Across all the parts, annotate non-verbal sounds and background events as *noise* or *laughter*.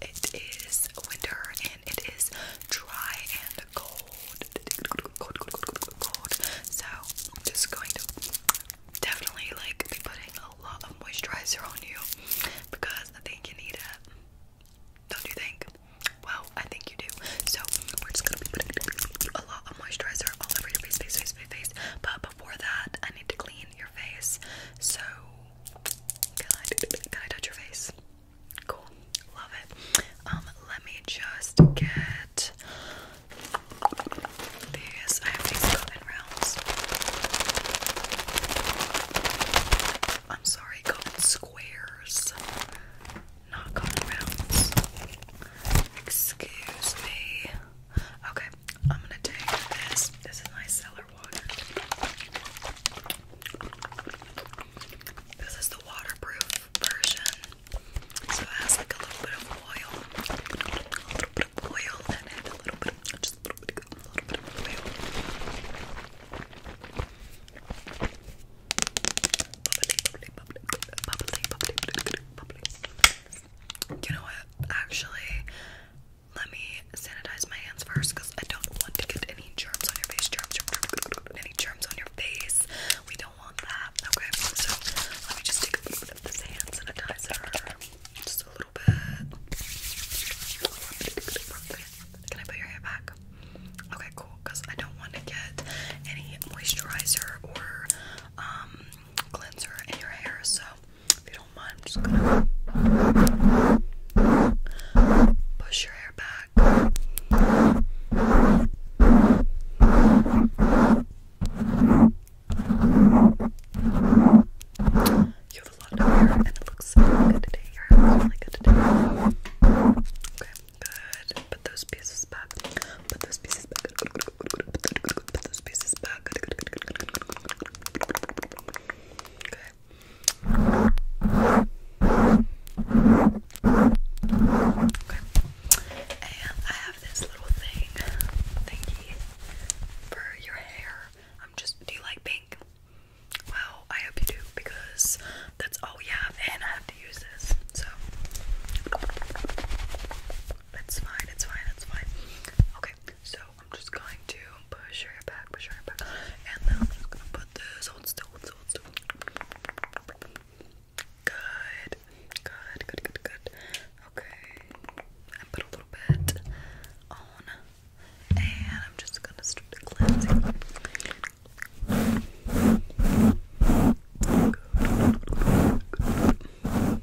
it is winter and it is dry and cold. Cold, cold, cold, cold, cold. So I'm just going to definitely like be putting a lot of moisturizer on you because I think you need it. Don't you think? Well, I think you do. So we're just gonna be putting a lot of moisturizer all over your face, face, face, face, face. But before that, I need to clean your face. So can I, touch your face? Cool. Love it. Um, let me just get these. I have these cotton rounds. I'm sorry, cotton squares. Not cotton rounds. Excuse me. Okay, I'm gonna take this. This is my cellar this is the waterproof version. So it has like a little bit of oil. A little bit of oil in it. A little bit of, just a little bit a little bit of oil. You know what? Actually, let me sanitize my hands first because I don't want to get any germs on your face. Germs, any germs on your face. We don't want that. Okay, so let me just take a little bit of this hand sanitizer. Just a little bit. Can I put your hair back? Okay, cool. Because I don't want to get any moisturizer or um, cleanser in your hair. So if you don't mind, I'm just gonna push your hair back. You have a lot of hair, and it looks really good today. Your hair looks really good today. Okay, good. Put those pieces back. Put those pieces back. Put those pieces back. back. Okay. And I have this little thing, thingy, for your hair. I'm just, do you like pink? Well, I hope you do because that's all we have, and I have to use this. So, it's fine, it's fine, it's fine. Okay, so I'm just going to push your hair back, push your hair back, and then I'm just gonna put this. Hold still, hold still, hold still. Good, good, good, good, good. Okay, and put a little bit on, and I'm just gonna start the cleansing. Good. Good. Good.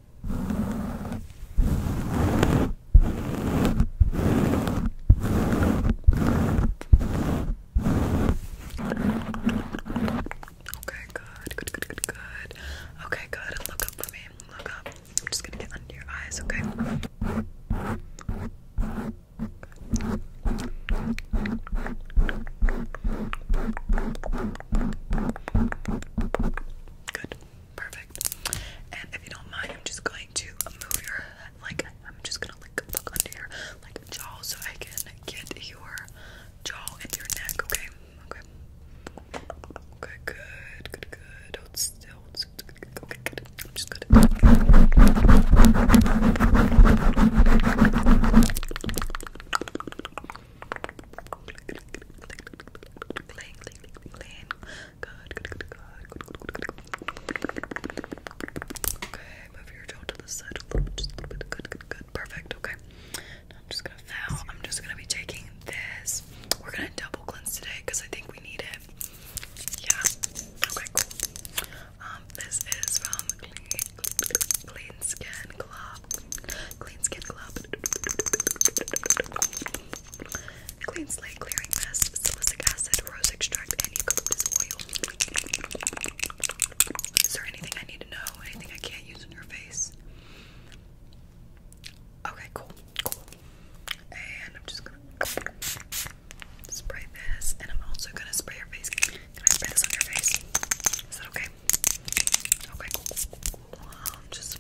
Okay, good, good, good, good, good. Okay, good. Look up for me. Look up. I'm just gonna get under your eyes, okay? Good. Perfect. And if you don't mind, I'm just going to move your like I'm just gonna like look under your like jaw so I can get your jaw into your neck. Okay. Okay. Okay. Good. Good. Good. Hold still. Hold still. Okay. Good. I'm just good. Okay, move your jaw to the side just a little bit. Good, good, good. Perfect. Okay. I'm just gonna foul. I'm just gonna be taking this. We're gonna double cleanse today because I think we need it. Yeah. Okay, cool. Um, this is from clean Skin Clean Skin Club. Clean Slate Clearing Mist, Salicylic Acid, Rose Extract, and Eucalyptus Oil. Is there anything I need to know? Anything I can't use on your face? Okay, cool, cool. And I'm just gonna spray this, and I'm also gonna spray your face. Can I spray this on your face? Is that okay? Okay, cool. cool, cool. Um, just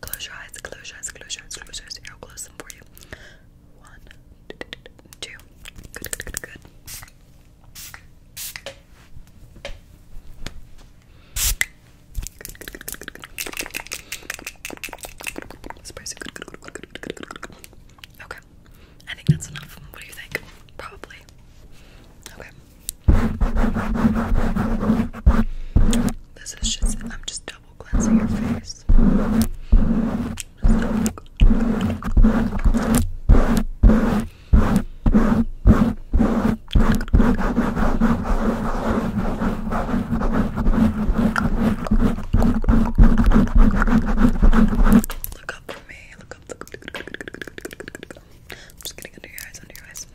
Close your eyes, close your eyes, close your eyes, close your eyes. I'll close them for you. One, two. Good, good, good, good. Good, good, good, good, good, good, good, good. Okay. I think that's enough. What do you think? Probably. Okay. This is just, I'm just double cleansing face. Look up for me. Look up. Look up. I'm just getting under your eyes, under your eyes.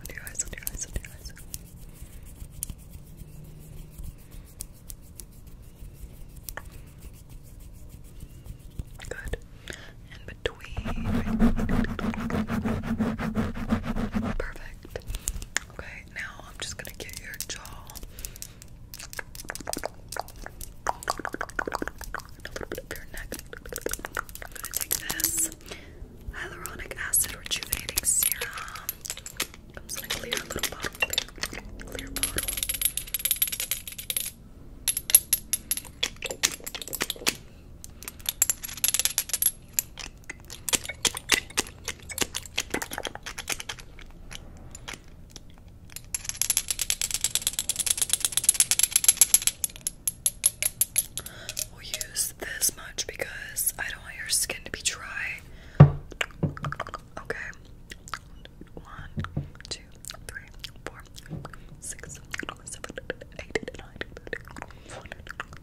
Under your eyes, under your eyes, under your eyes. Good. And between. Perfect. Okay, now I'm just gonna get your jaw. a little bit of your neck. I'm gonna take this hyaluronic acid rejuvenating serum. Comes in a clear little bottle, clear bottle. We'll use this much because I don't want your skin to be dry. Okay. One, two, three, four, six, seven, eight, nine, one,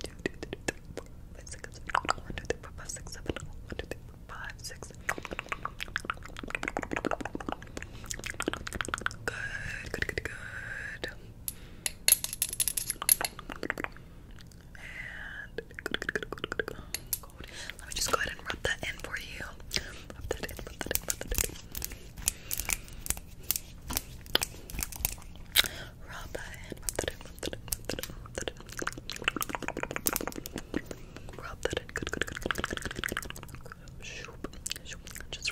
two, three, four, five, six, one, two, three, four, five, six, seven, one, two, three, four, five, six. Good, good, good, good let me just go ahead and rub that in for you. Rub that in, rub that in, rub that in. Rub that in, shoop. Just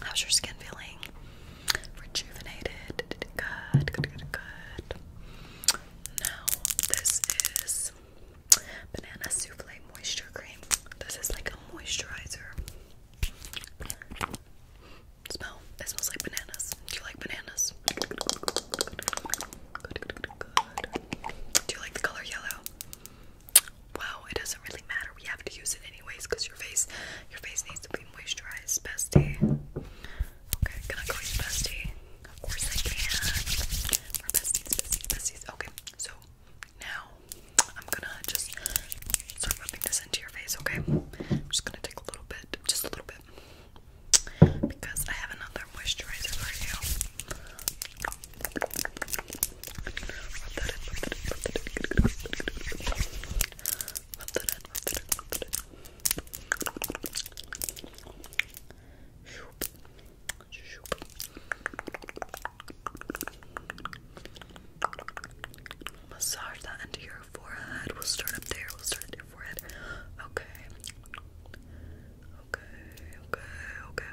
How's your skin feeling? Rejuvenated. Good, good, good, good. Now, this is Banana Souffle Moisture Cream. This is like a moisturizer. Smell. It smells like bananas. Do you like bananas? Do you like the color yellow? well, it doesn't really matter. We have to use it anyways because your face, your face needs to be moisturized, bestie. Okay, can I call you bestie? Of course I can. We're besties, besties, besties. Okay, so now I'm gonna just start rubbing this into your face. Okay, I'm just gonna take a little bit, just a little bit, because I have another moisturizer for you. Massage that into your forehead. We'll start up there. We'll start at your forehead. Okay. Okay, okay, okay,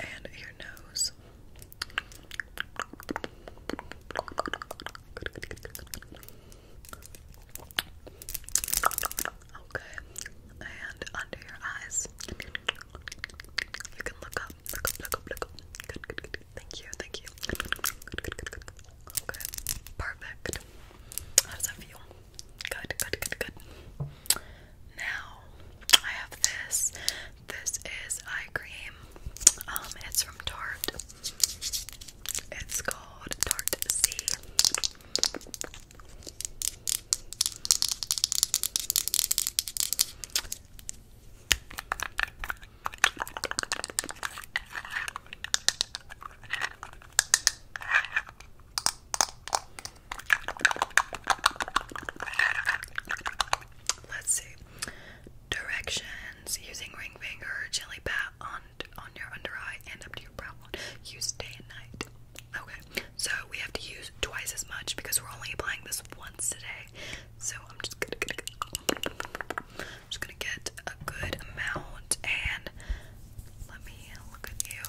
and your nose. Okay, and under your eyes. You can look up, look up, look up, look up. Good, good, good. Thank you, thank you. Okay, perfect. How does that feel? Good, good, good, good. Now I have this. This is eye cream. Um, it's from Tarte. It's called Tarte C. Let's see. Directions using ring finger, gently pat on on your under eye and up to your brow bone. Use day and night. Okay, so we have to use twice as much because we're only applying this once a day. So I'm just gonna just gonna get a good amount and let me look at you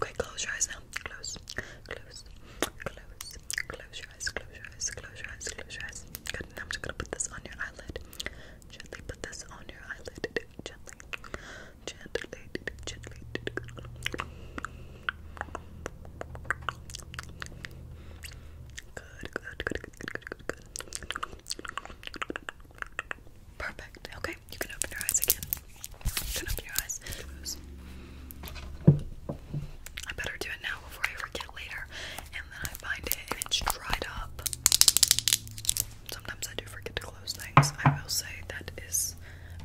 Okay, close your eyes now. Close, close, close, close your eyes, close your eyes, close your eyes, close your eyes. Good. Now I'm just gonna put this on your eyelid. Gently put this on your eyelid. Gently, gently, gently. Good, good, good, good, good, good, good. Perfect. Okay, you can open your eyes again. You can open your eyes. I better do it now before I forget later. And then I find it and it's dried up. Sometimes I do forget to close things. I will say that is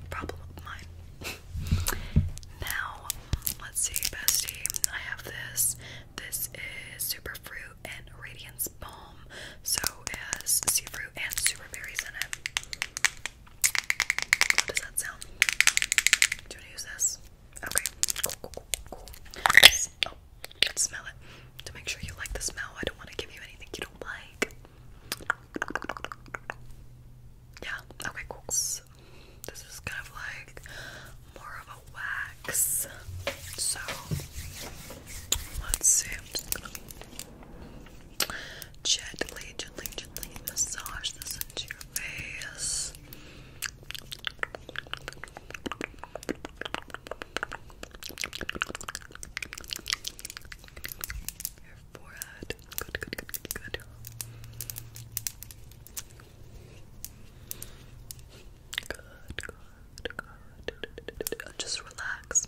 a problem of mine. *laughs* now, let's see, bestie. I have this. This is Superfruit and Radiance Balm. So, it has seafruit and super berries in it. does that sound? Do you use this? Okay. Cool, cool, cool, cool. Oh, smell it. To make sure you like the smell, I don't want to give you anything you don't like. Yeah, okay, cool. This is kind of like more of a wax. So, let's see gently, gently, gently massage this into your face. Your forehead. Good, good, good, good, good. Good, good, good. Just relax.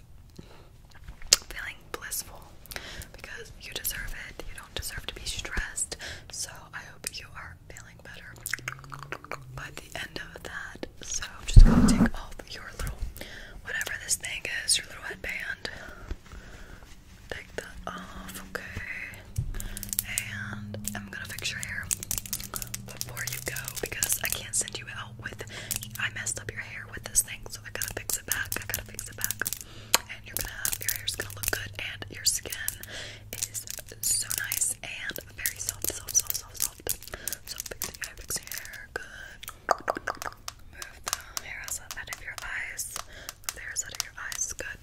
feeling blissful because you deserve it. You don't deserve to be stressed. So I hope you are feeling better by the end of that. So I'm just gonna take off your little whatever this thing is, your little headband. Take that off, okay? And I'm gonna fix your hair before you go because I can't send you out with I messed up your hair with this thing so I gotta fix it back. I gotta fix it back. And you're gonna have your hair's gonna look good and your skin is so nice and very soft, soft, soft, soft, soft. So fixing your hair, fixing your hair, good. Move the hair out of your eyes. Move the hairs out of your eyes. Good.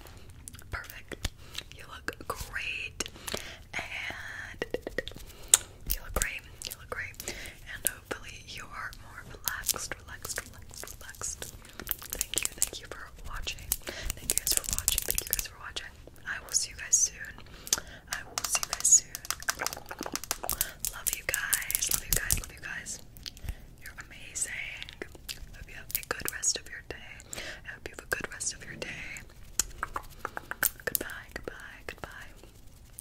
Perfect. You look great. And you look great. You look great. And hopefully you are more relaxed, relaxed, relaxed, Thank you, thank you for watching. Thank you guys for watching. Thank you guys for watching. I will see you guys soon. I will see you guys soon. Love you guys. Love you guys. Love you guys. You're amazing. hope you have a good rest of your day. I hope you have a good rest of your day. Goodbye, goodbye, goodbye.